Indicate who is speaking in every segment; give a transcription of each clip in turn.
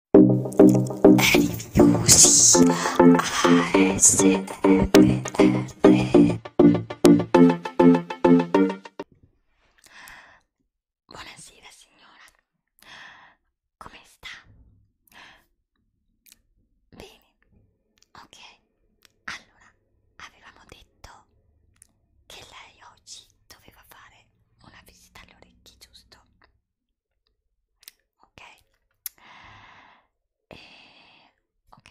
Speaker 1: Music Buonasera signora, come sta? Bene, ok. Allora, avevamo detto che lei oggi doveva fare una visita all'orecchio, giusto? ok e, ok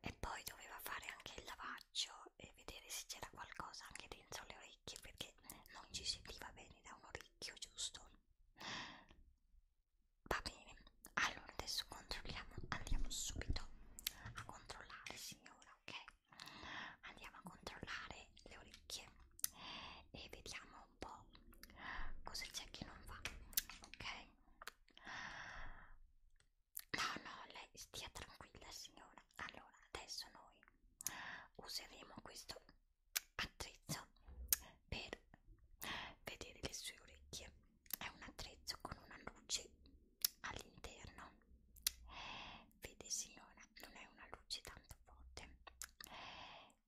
Speaker 1: e poi doveva fare anche il lavaggio e vedere se c'era qualcosa anche dentro le orecchie perché non ci sentiva bene da un orecchio giusto va bene allora adesso controlliamo andiamo subito a controllare signora ok andiamo a controllare e le orecchie e vediamo un po' cosa c'è che non va, ok? No, no, lei stia tranquilla signora. Allora, adesso noi useremo questo attrezzo per vedere le sue orecchie. È un attrezzo con una luce all'interno vedi signora non è una luce tanto forte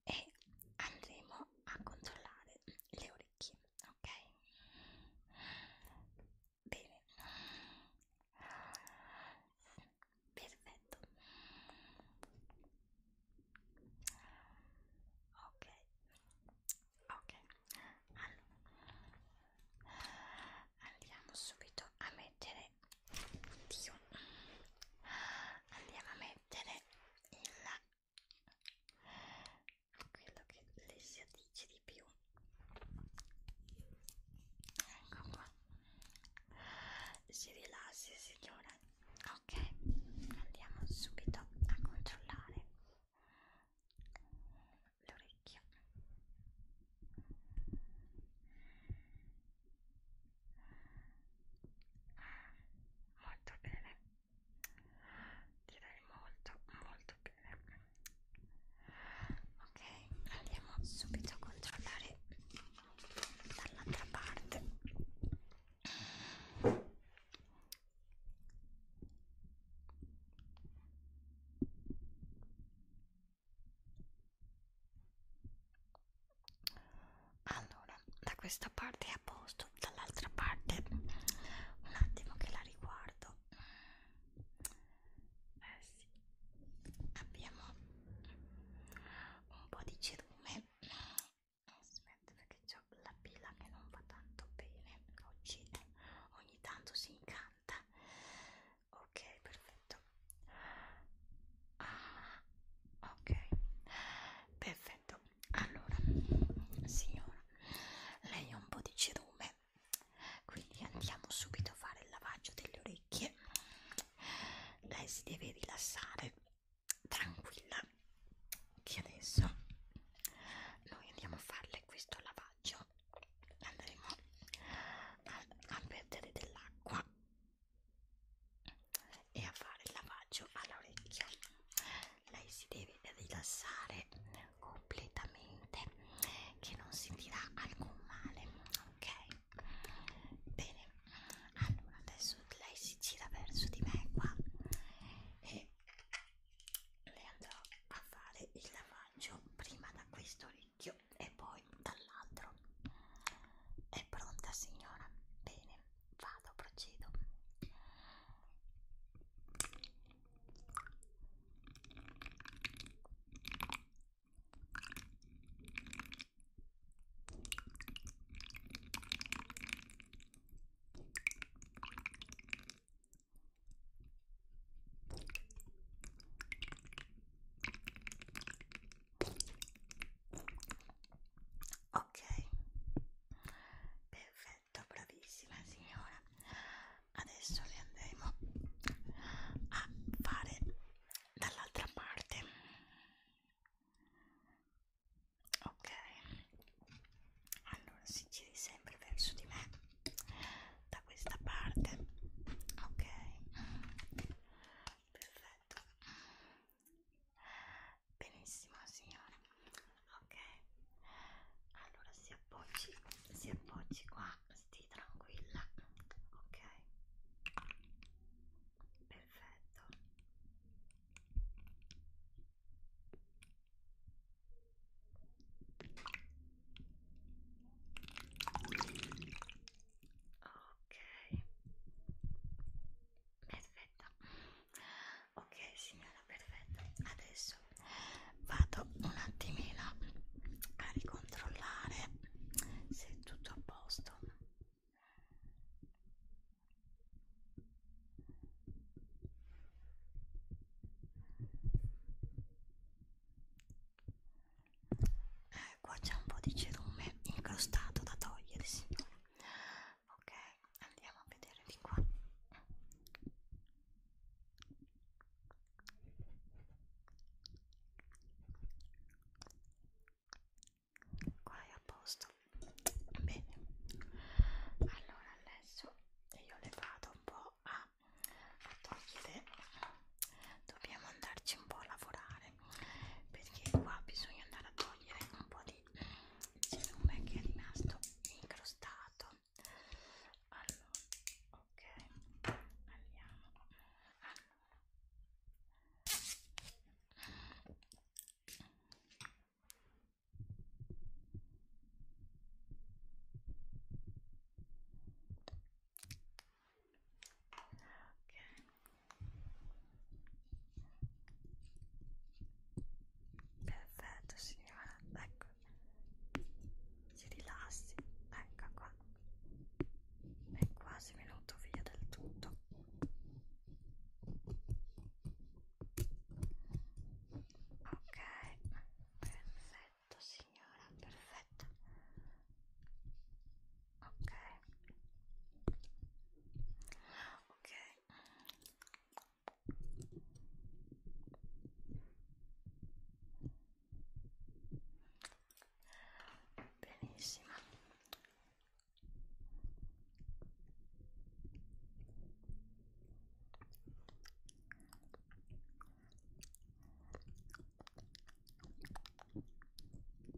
Speaker 1: e andremo a controllare le orecchie ok bene perfetto ok ok allora andiamo subito a mettere mettere oddio andiamo a mettere il quello che le si addice di più ecco qua si rilassi signora ok andiamo subito a controllare l'orecchio molto bene direi molto molto bene ok andiamo subito a controllare dall'altra parte allora da questa parte è a posto dall'altra parte un attimo che la riguardo eh sì abbiamo un po' di cerume aspetta perché c'ho la pila che non va tanto bene oggi ogni tanto si incanta ok perfetto ah, ok perfetto allora signora lei ha un po' di cerume quindi andiamo subito a fare il lavaggio delle orecchie lei si deve rilassare tranquilla che adesso noi andiamo a farle questo lavaggio andremo a, a perdere dell'acqua e a fare il lavaggio all'orecchio lei si deve rilassare completamente che non sentirà alcun male ok bene allora adesso lei si gira verso di me qua e le andrò a fare il lavaggio prima da questo orecchio e poi dall'altro. È pronta signora? Bene, vado, procedo ok perfetto bravissima signora adesso le andremo a fare dall'altra parte ok allora si giri sempre verso di me da questa parte ok perfetto benissimo signore ok allora si appoggi si appoggi qua stii tranquilla ok perfetto ok perfetta ok signora perfetta adesso vado un attimino a ricontrollare se è tutto a posto eh, qua c'è un po' di cerume incrostato da togliere signore ok andiamo a vedere di qua qua è a posto bene allora adesso io le vado un po' a ma a Tokide dobbiamo andarci un po' a lavorare perché qua bisogna andare a togliere un po' di cerume che è rimasto incrostato allora ok andiamo allora ok perfetto signora ecco si rilassi ecco qua è quasi venuto via del tutto ok perfetto perfetto signora perfetto ok ok benissimo perfetto ok ok attimo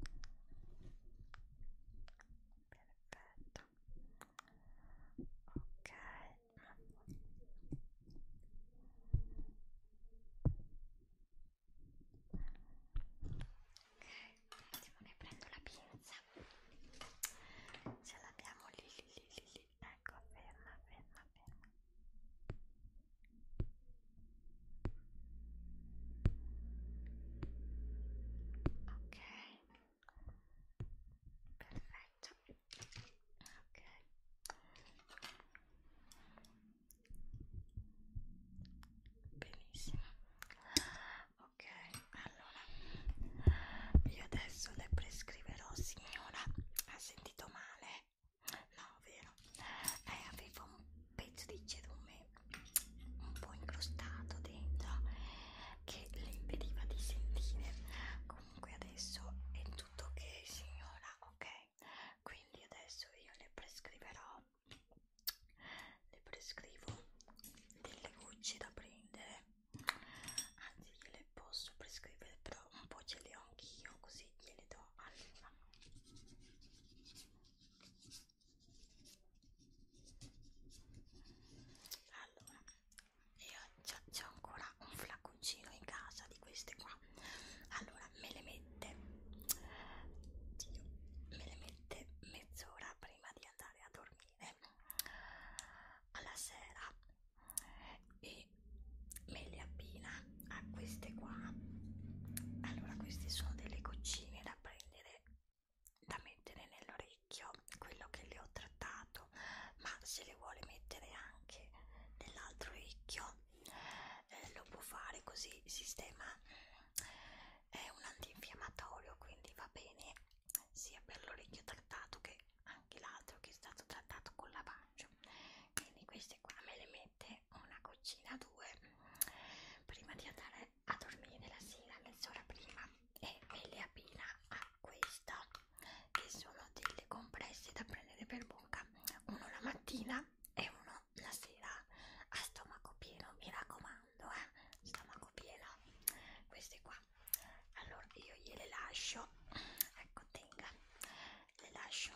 Speaker 1: ne prendo la pinza ce l'abbiamo lì lì lì lì lì ecco ferma ferma ferma Ok, perfetto. Ok. Benissimo. Ok, allora io adesso le prescriverò signora, ha sentito male No, vero. Eh, avevo un pezzo di cerume un po' incrostato dentro che le impediva di sentire. Comunque adesso è tutto ok, signora, ok? Quindi adesso io le prescriverò, le prescrivo delle gocce da prendere. Anzi, gliele posso prescrivere, però un po' ce le ho anch'io, così gliele do allora allora io c'ho ancora un flaconcino in casa di queste qua allora me le mette Dio, me le mette mezz'ora prima di andare a dormire alla sera e me le abbina a queste qua allora queste sono delle goccine da prendere da mettere nell'orecchio quello che le ho trattato ma se le vuole mettere anche nell'altro orecchio eh, lo può fare così il sistema è un antinfiammatorio quindi va bene sia per l'orecchio trattato che anche l'altro che è stato trattato con lavaggio quindi queste qua me le mette una goccina due prima di andare a dormire la sera mezz'ora prima e me le abbina a questa che sono delle compresse da prendere per bocca uno la mattina e uno la sera a stomaco pieno mi raccomando eh? stomaco pieno queste qua allora io gliele lascio ecco tenga le lascio,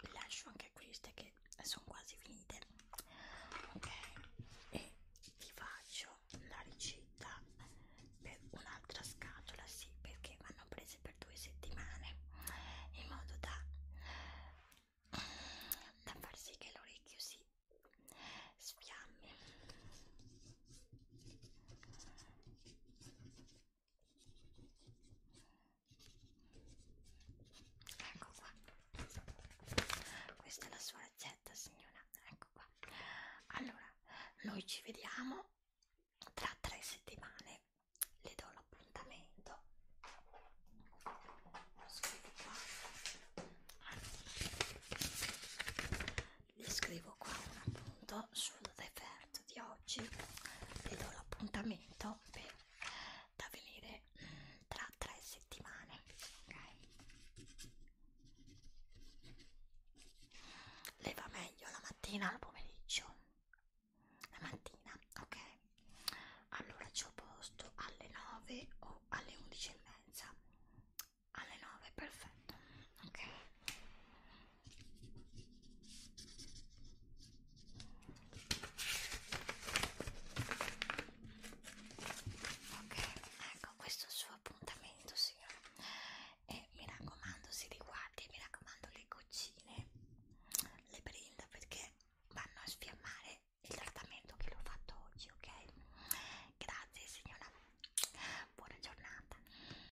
Speaker 1: le lascio anche queste che sono quasi finite ok e vi faccio la ricetta per un'altra scatola sì perché vanno prese per due settimane in modo da, da far sì che l'orecchio si sfiammi Ecco qua. Questa è la sua ricetta, signora. Ecco qua. Allora, noi ci vediamo tra tre settimane. Le do l'appuntamento. Lo scrivo qua. Allora, le scrivo qua un appunto sul defer scherzo di oggi vi do l'appuntamento da venire mm, tra tre settimane ok le va meglio la mattina o al pomeriggio la mattina ok allora ci ho posto alle 9 o alle 11 e mezza alle 9 perfetto ok Ok, ecco questo è il suo appuntamento signora e mi raccomando si riguardi, mi raccomando le goccine, le brinda perché vanno a sfiammare il trattamento che l'ho fatto oggi, ok? Grazie signora, buona giornata